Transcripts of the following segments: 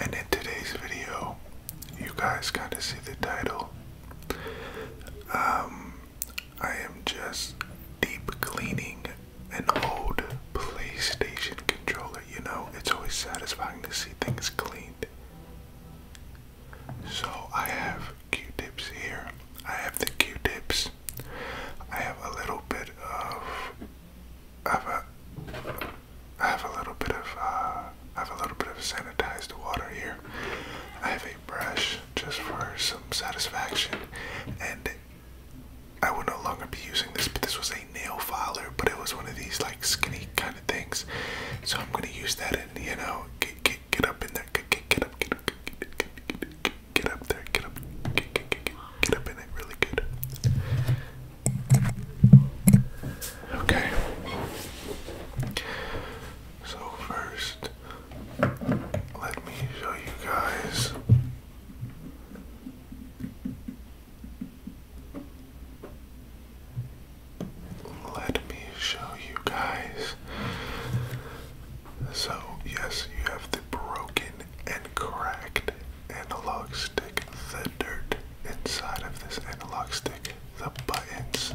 And in today's video, you guys kind of see the title. Um, I am just deep cleaning an old PlayStation controller. You know, it's always satisfying to see things cleaned. So I have Q-tips here. I have the Q-tips. I have a little bit of I have a I have a little bit of uh, I have a little bit of sanitized water here. I have a brush just for some satisfaction, and I will no longer be using this. But this was a nail filer, but it was one of these like skinny kind of things. So I'm gonna use that and you know get get get up in there, get get get up, get up, get, get, get, get up there, get up, get, get, get, get, get up in it, really good. Okay. So, first, let me show you guys let me show you guys so yes you have the broken and cracked analog stick, the dirt inside of this analog stick, the buttons.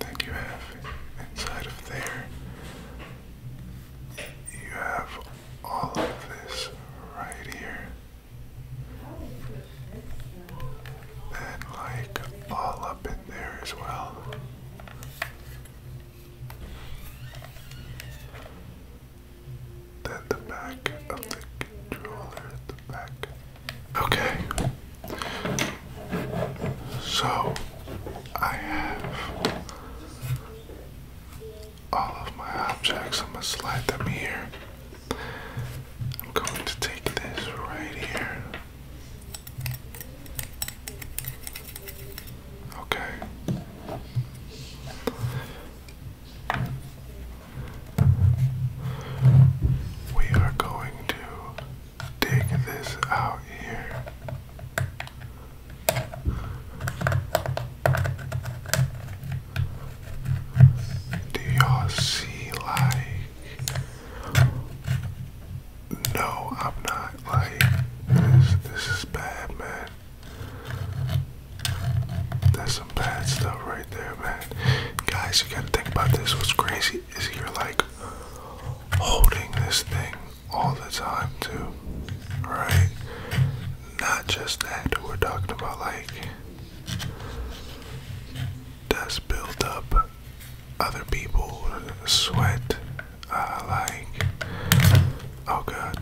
Then you have inside of there, you have all of this right here. And like all up in there as well. Then the back of the controller the back. Okay. So I have all of my objects. I'm gonna slide them here. I'm going to take this right here. Okay. We are going to dig this out here. Do you see like No, I'm not like this this is bad man. That's some bad stuff right there, man. Guys, you gotta think about this. What's crazy is you're like holding this thing all the time too. Right? not just that, we're talking about like dust build up, other people sweat, uh, like, oh god,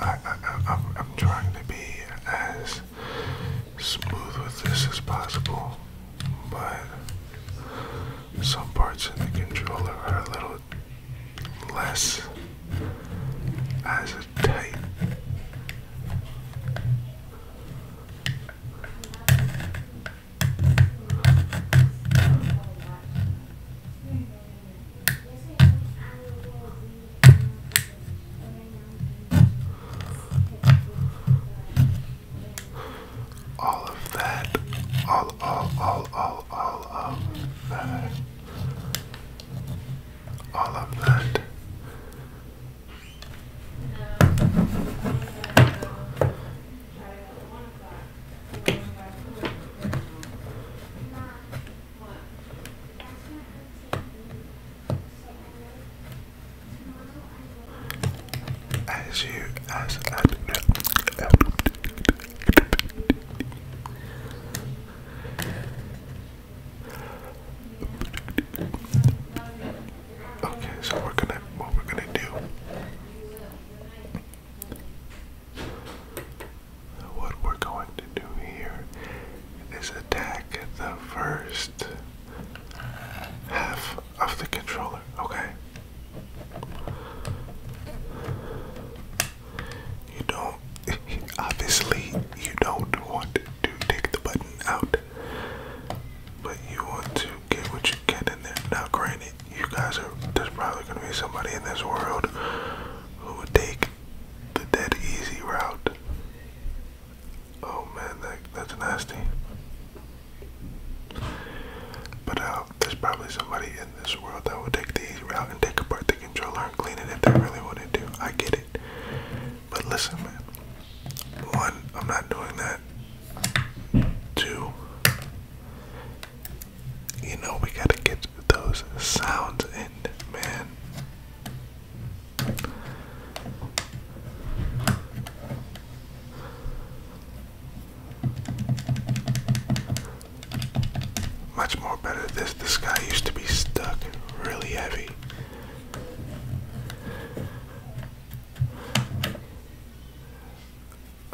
I, I'm, I'm trying to be as smooth with this as possible, but some parts in the controller are a little less as a type. all of that all all all all all of that all of that. As you as I, Okay, so we're gonna what we're gonna do what we're going to do here is attack the first half of the controller, okay? You don't, obviously, you don't want to take the button out, but you want to get what you can in there. Now, granted, you guys are, there's probably going to be somebody in this world who would take the dead easy route. Oh man, that, that's nasty. But I uh, there's probably somebody in this world that would take these out and take apart the controller and clean it if they really wanted to. I get it. But listen, man. One, I'm not doing that. Two, you know, we gotta get those sounds in, man. Much more better this this guy used to be stuck really heavy.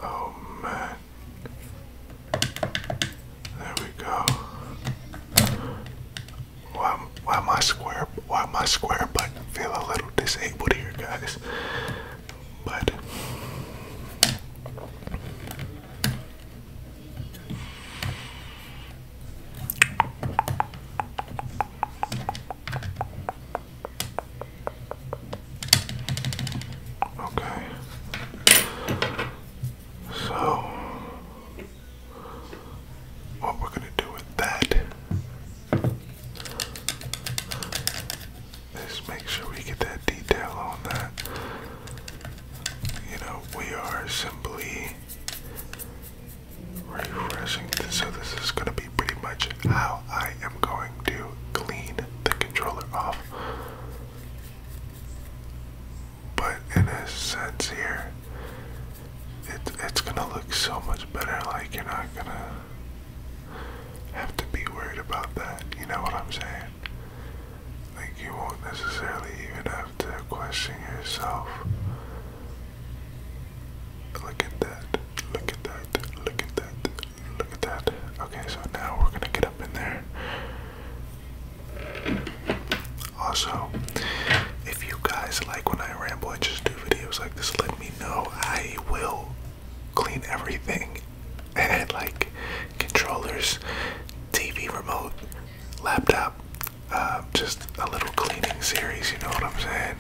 Oh man. There we go. Why why my square why my square button feel a little disabled here guys? but okay. So, what we're going to do with that Let's make sure we get that detail on that. You know, we are simply refreshing So this is going to be pretty much how I am going to clean the controller off. But in a sense here, it, it's going to look so much better. Like you're not going to have to be worried about that. You know what I'm saying? Like, you won't necessarily even have to question yourself. Look at that. Look at that. Look at that. Look at that. Okay, so now we're gonna get up in there. Also, if you guys like when I ramble just do videos like this, let me know. I will clean everything and like controllers, TV remote, laptop, um, just a little cleaning series, you know what I'm saying?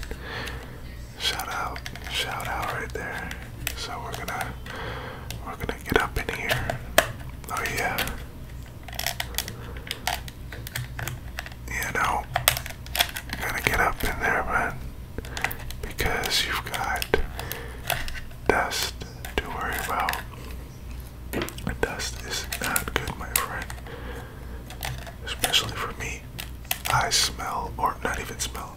Shout out, shout out right there. So we're gonna we're gonna get up in here. Oh yeah. You know, gotta get up in there, man because you've got dust to worry about. Dust is not good, my friend, especially for me. I smell, or not even smell,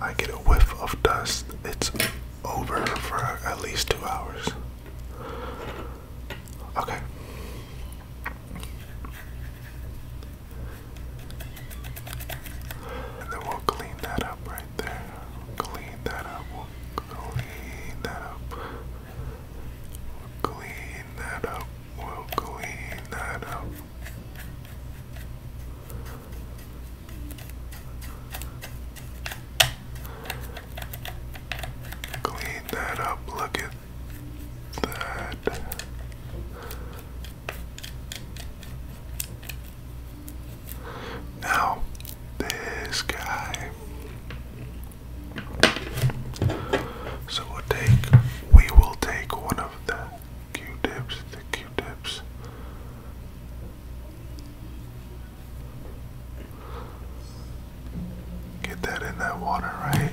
I get a whiff of dust. It's over for at least two hours. Okay. And then we'll clean that up right there. clean that up. clean that up. clean that up. We'll clean that up. Clean that up. Look at that. Now, this guy. So we'll take, we will take one of the Q-tips, the Q-tips. Get that in that water, right?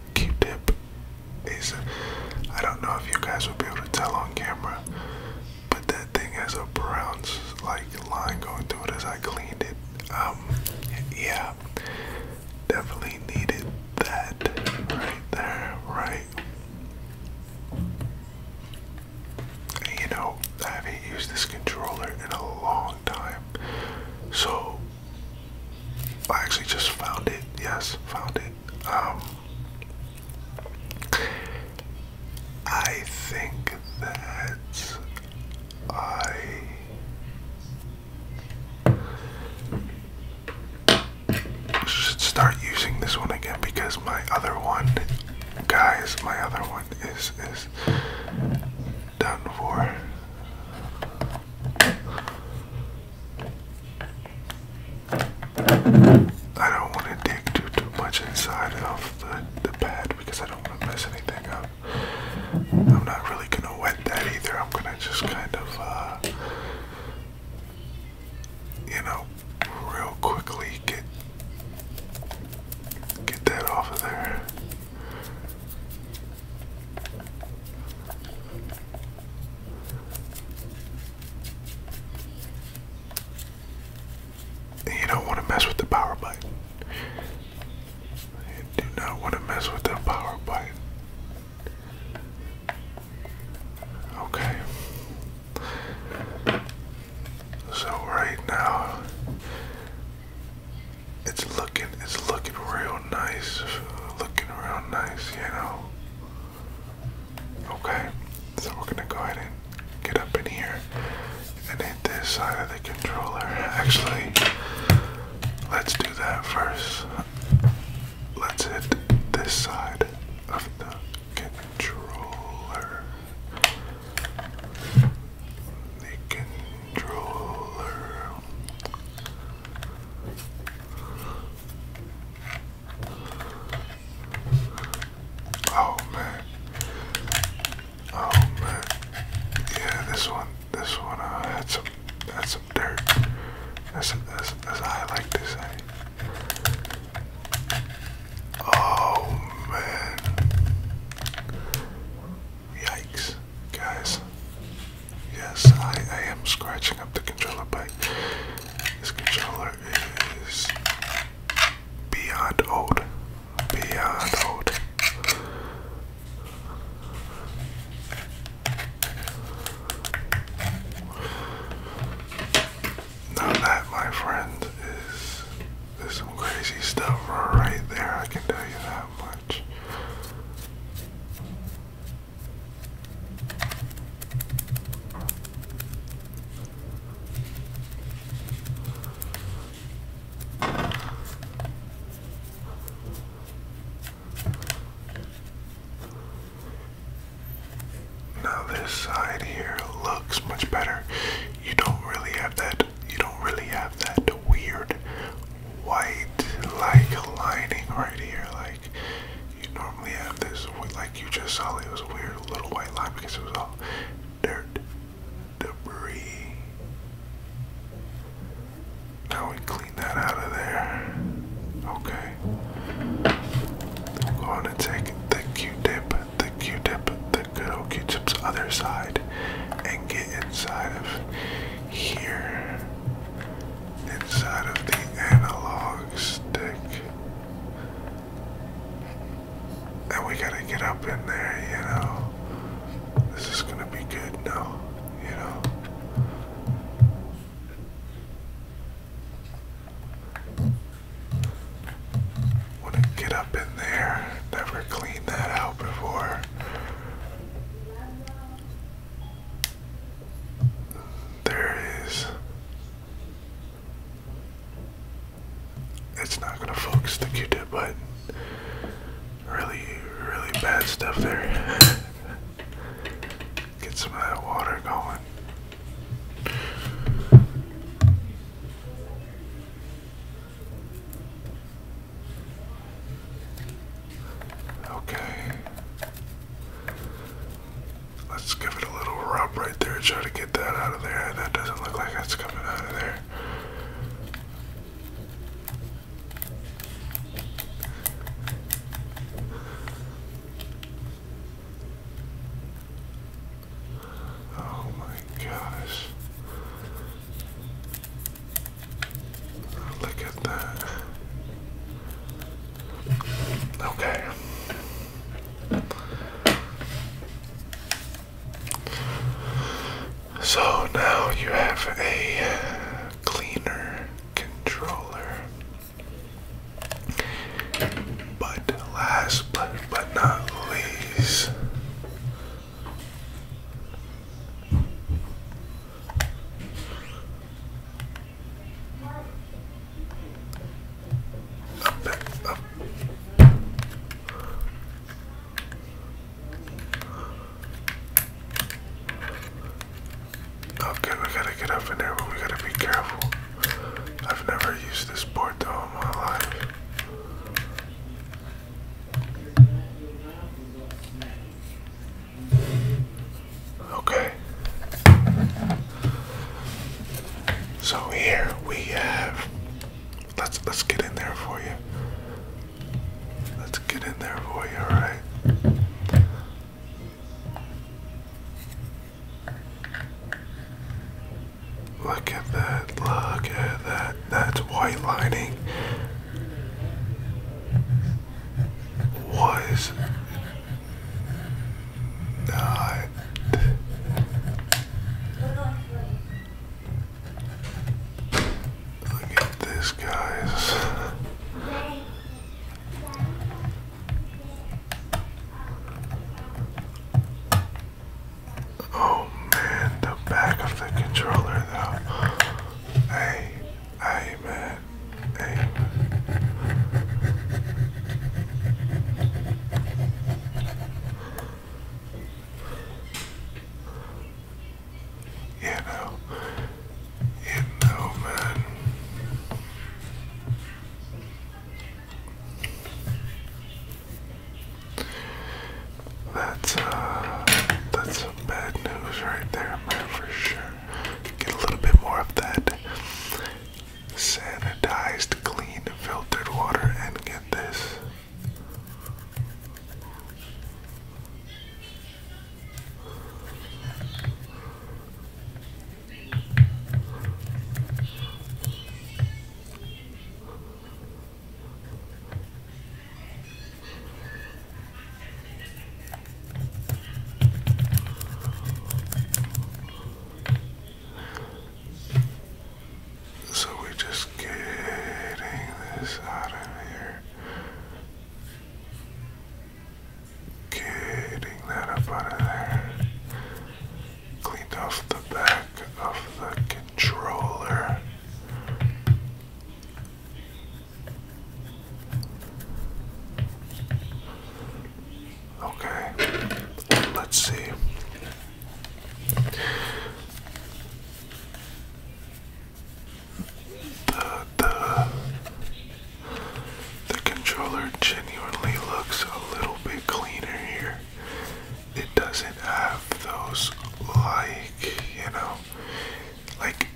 Q-Tip I don't know if you guys will be able to tell on camera, but that thing has a brown like line going through it as I cleaned it. Um, yeah, definitely needed that right there, right? You know, I haven't used this controller in a long time, so I actually just found it. Yes, found it. Um, I think that I. Should start using this one again because my other one, guys, my other one is is done for. I don't want to dig too too much inside of the, the pad because I don't want to mess anything up. I'm not really gonna wet that either. I'm gonna just kind of uh, you know real quickly get get that off of there you don't want to mess with the power button. You do not want to mess with the power button. Okay. So right now it's looking, it's looking real nice. Looking real nice, you know. Okay, so we're gonna go ahead and get up in here and hit this side of the controller. Actually, let's do that first. Let's hit this side of the controller. The controller. Oh man. Oh man. Yeah, this one, this one uh, had some, had some dirt. That's, that's, that's I like to say. Eh? Oh man. Yikes, guys. Yes, I, I am scratching up the controller, but this controller is beyond old. Beyond old. Now that, my friend, is there's some crazy stuff right there. I can tell you that much much. Now this side here looks much better. You don't really have that you don't really have that weird white like lining right here. Like you normally have this, like you just saw, it was a weird little white line because it was all dirt, debris. Now we clean that out of there. Okay. I'm going to take the Q-tip, the Q-tip, the good old Q-tip's other side and get inside of here inside of the analog stick. And we gotta get up in there, you know. This is gonna be good now, you know. Wanna get up in there, never cleaned that out before. There is. It's not gonna focus the Q-tip, but really, really bad stuff there. Get some of that water going. Okay. Let's give it a little rub right there. Try to get that out of there. That doesn't look like that's coming out of there. Oh my gosh. Look at that. Okay. So now you have a cleaner controller. But last but, but not least, Okay, we gotta get up in there, but we gotta be careful. I've never used this board though in my life. Okay. So here we have let's let's get in there for you. Let's get in there for you, alright? Look at that, look at that. That's white lining was not Look at this, guys. Oh man, the back of the controller though. Hey, hey man, hey. You know, you know, man. That's uh, that's some bad news right there, man, for sure. Get a little bit more of that sanitized, clean, filtered water, and get this. So we're just getting this out of here. Getting that up out of there. Cleaned off the back of the controller. Okay, let's see. The, the, controller genuinely looks a little bit cleaner here it doesn't have those like you know like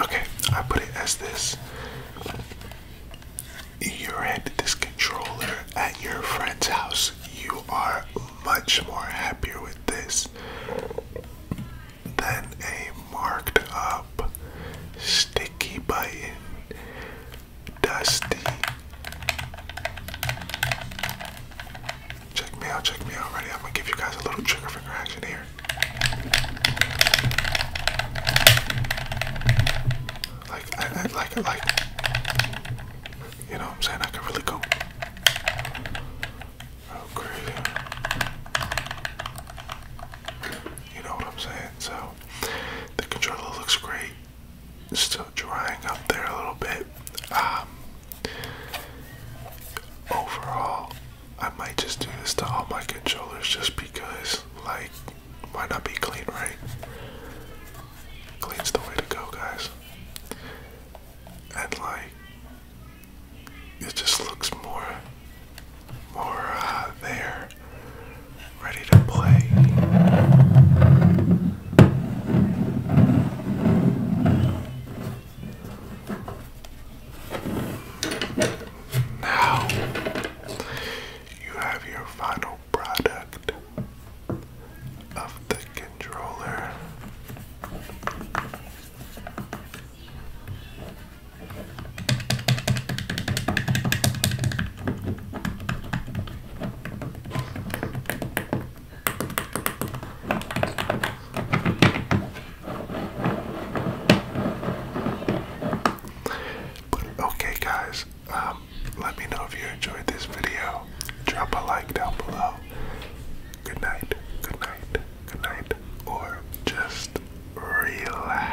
okay I put it as this you're at this controller at your friend's house you are much more happier with this than a marked up sticky button dusty Check me out, check me out. Ready? I'm gonna give you guys a little trigger finger action here. Like, I, like, like. You know what I'm saying? I could really go. Oh, crazy. You know what I'm saying? So, the controller looks great still drying up there a little bit. Um, overall, I might just do to all my controllers just because, like, why not be clean, right? Clean's the way to go, guys. And like, it just looks more, more uh, there, ready to play. Now you have your final product of the controller okay, guys, um, let me know if you enjoyed this video. Drop a like down below. Good night, good night, good night, or just relax.